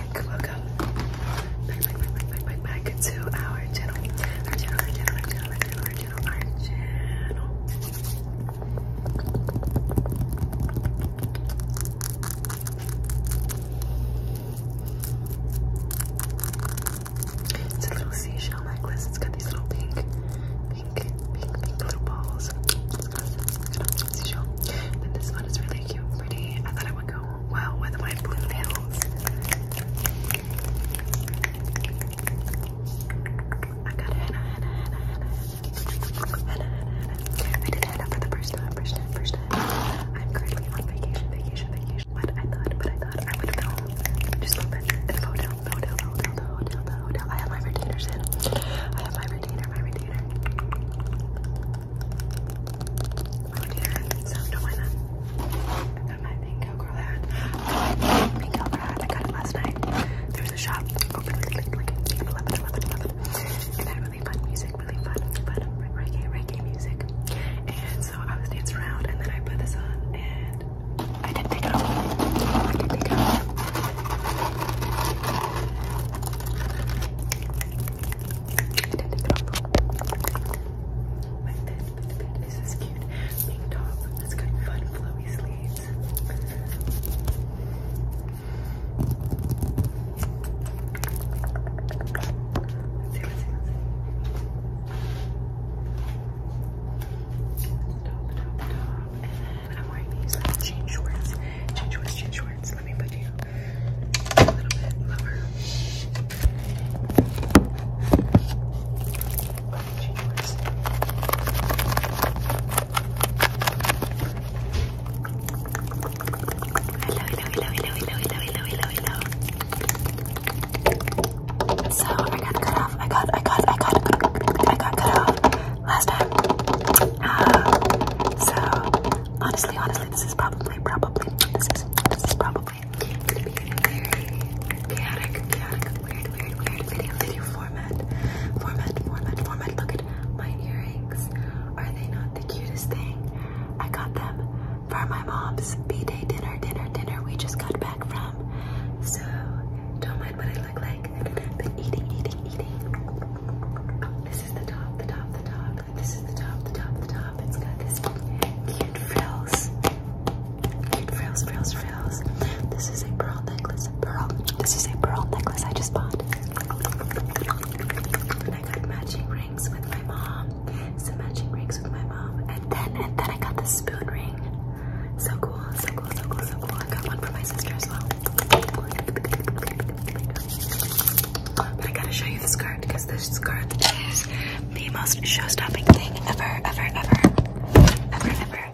Welcome back, back, back, back, back, back, to Our channel, our channel, our channel, our channel, our channel, our channel. It's a little seashell necklace. It's got these little pink, pink, pink, pink little balls this one is really cute pretty. I thought it would go well with my blue nails. I got henna, I did henna for the first time, first time, first time. I'm currently on vacation, vacation, vacation. But I thought, but I thought I would film just a little bit the hotel, the hotel, hotel, hotel, hotel. I have my retainers in. I have my retainer, my retainer. My that. I got my pink cowgirl hat. I got it last night. There was a shop open, like, really fun music, really fun, fun reggae, reggae music. And so I was dancing around, and then I put this on, and I didn't take I didn't take it off. Like this, but the this is cute. Pink top. It's got fun flowy sleeves. Let's see, let's see, let's see. Stop, stop, stop and I'm wearing these like, change shorts. Change shorts, change shorts. Let me put you a little bit lower. hello, hello, hello, hello, hello, hello, hello, hello. So I got cut off. I got, I got, I got, I got cut off last time. Ah, so honestly, honestly, this is probably, probably, this is, this is probably gonna be a very chaotic, chaotic, weird, weird, weird video, video format, format, format, format. Look at my earrings. Are they not the cutest thing? I got them for my mom's b-day dinner, dinner, dinner. We just got back. So don't mind what I look like. I've been eating, eating, eating. This is the top, the top, the top. This is the top, the top, the top. It's got this cute frills. Cute frills, frills, frills. This is a pearl necklace. Pearl. This is a pearl necklace I just bought. I got matching rings with my mom some matching rings with my mom. And then and then I got the spoon ring. So cool, so cool, so cool, so cool. I got one for my sister as well. I gotta show you the skirt because this skirt is the most show-stopping thing ever, ever, ever, ever, ever.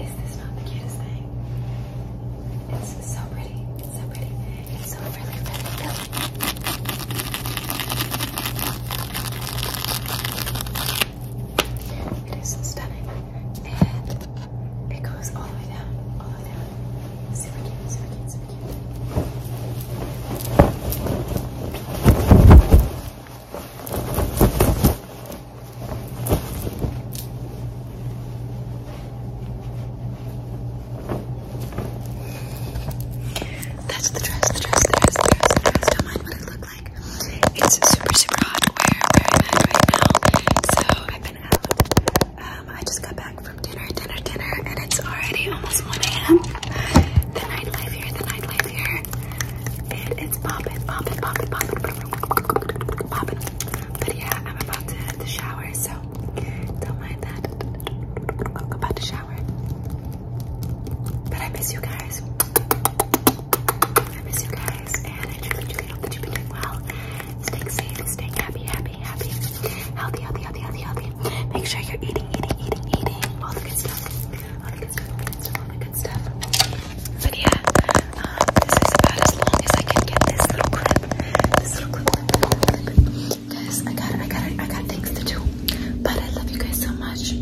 Is this not the cutest thing? It's so pretty. It's so pretty. It's so really, really pretty. It is stunning. And it goes all the way down, all the way down. Super cute, super cute, super cute. That's the dress, the dress, the dress, the dress, the dress. Don't mind what I look like. It's super, super hot where I'm wearing at right now. So I've been out. Um, I just got back from dinner, dinner, dinner, and it's already almost 1 a.m. The nightlife here, the nightlife here. It is popping. Popping. Popping. Popping. poppin', but yeah, I'm about to hit the shower, so don't mind that. I'm about to shower. But I miss you guys. I miss you guys, and I truly, truly hope that you've been doing well. Staying safe, staying happy, happy, happy, healthy, healthy, healthy, healthy, healthy. Make sure you're eating, eating, eating, eating. All the good stuff. All the good stuff, all the good stuff, all the good stuff. But yeah, um, this is about as long as I can get this little clip. This little clip. Guys, I got I got I got things to do. But I love you guys so much.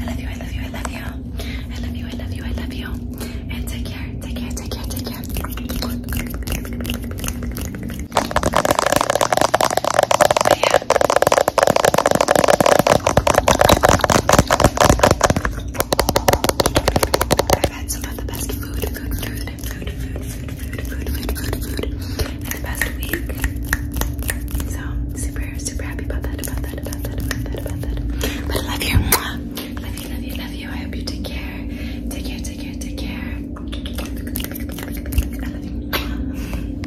I love you, I love you, I love you. I love you, I love you, I love you. And take care, take care, take care, take care. But yeah. I've had some of the best food, food, food, food, food, food, food, food, food, food, food in the past week. So super, super happy about that, about that, about that, about that, about that. But I love you. Love you, love you, love you. I hope you take care. Take care, take care, take care. I love you.